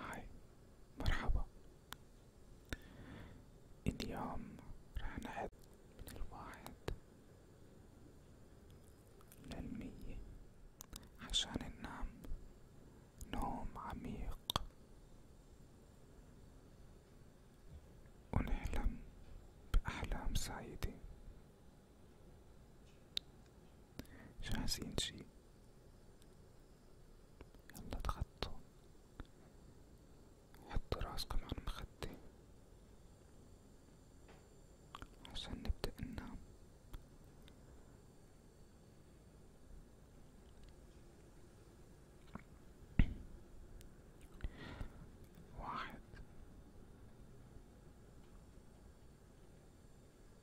هاي مرحبا اليوم راح نعد من الواحد للمية عشان ننام نوم عميق ونحلم بأحلام سعيدة جاهزين شي يلا تخطوا حطوا راسكم على المخدة عشان نبدأ ننام واحد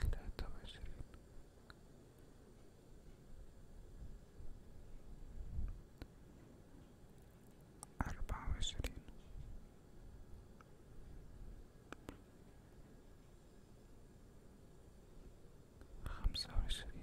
ثلاثة وعشرين أربعة وعشرين خمسة وعشرين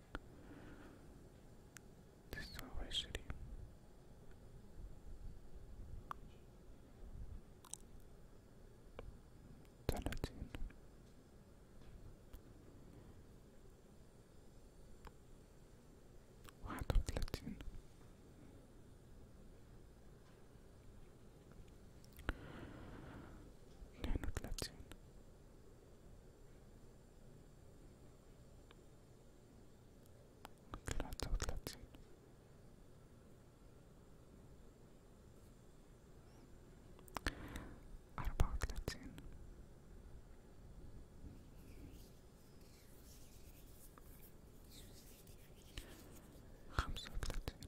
تسعة وعشرين ثلاثين واحد وثلاثين اثنين وثلاثين ثلاثة وثلاثين أربعة وثلاثين خمسة وثلاثين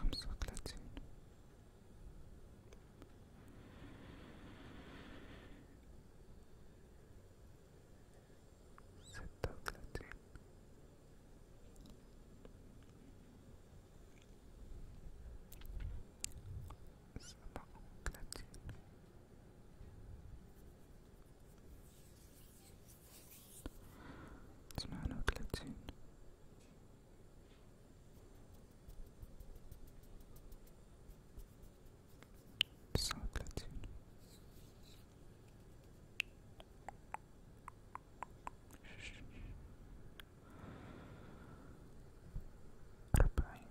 خمسة وثلاثين ستة وثلاثين سبعة وثلاثين تسعة وثلاثين تسعة وثلاثين أربعين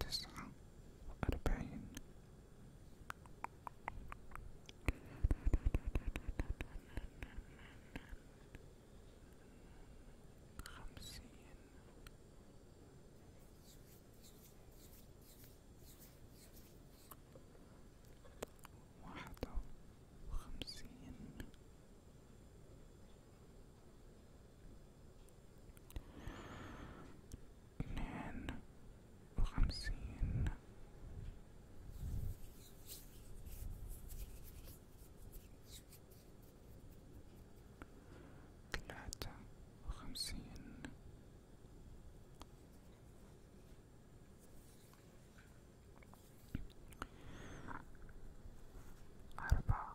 تسعة وأربعين خمسين واحدة وخمسين اثنان وخمسين ثلاثة وخمسين أربعة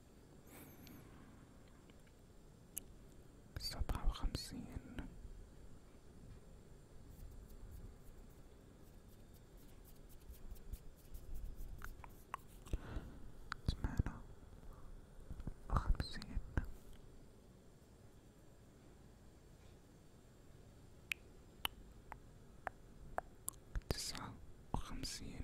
سبعة وخمسين ثمانية وخمسين تسعة وخمسين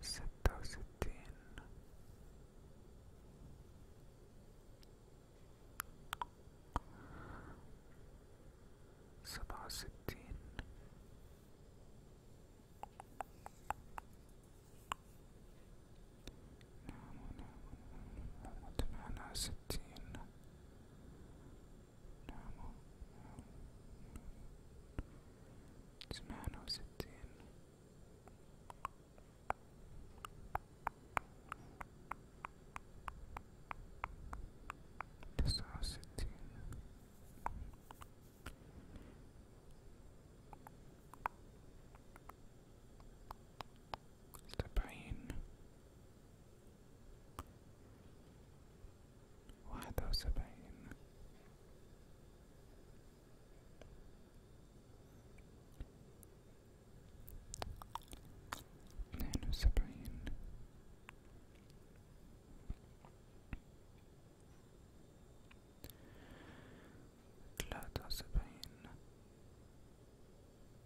ستة وستين سبعة وستين نعم نعم نعم ستين normal. Um, it's man who sits in. This house sits in. It's the pain. واحدة وسبعين اثنين وسبعين ثلاثة وسبعين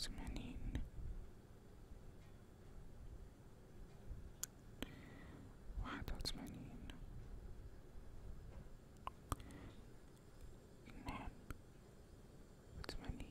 ثمانين واحد وثمانين اثنان وثمانين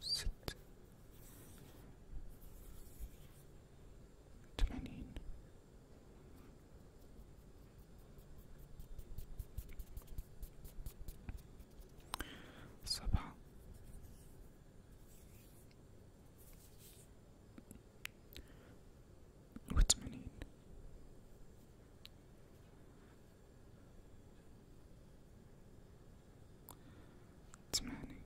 ست ثمانين سبعة وثمانين It's many.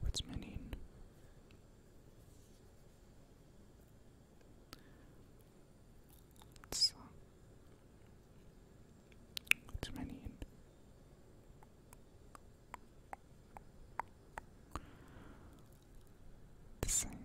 What's many? It's, uh, what's many? The same.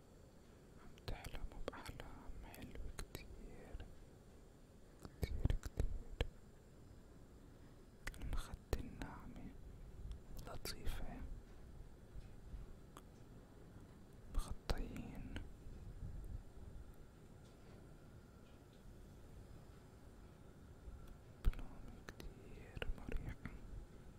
عم تحلم بأحلام حلوة كتير كتير كتير المخدة الناعمة لطيفة مغطيين بلون كتير مريح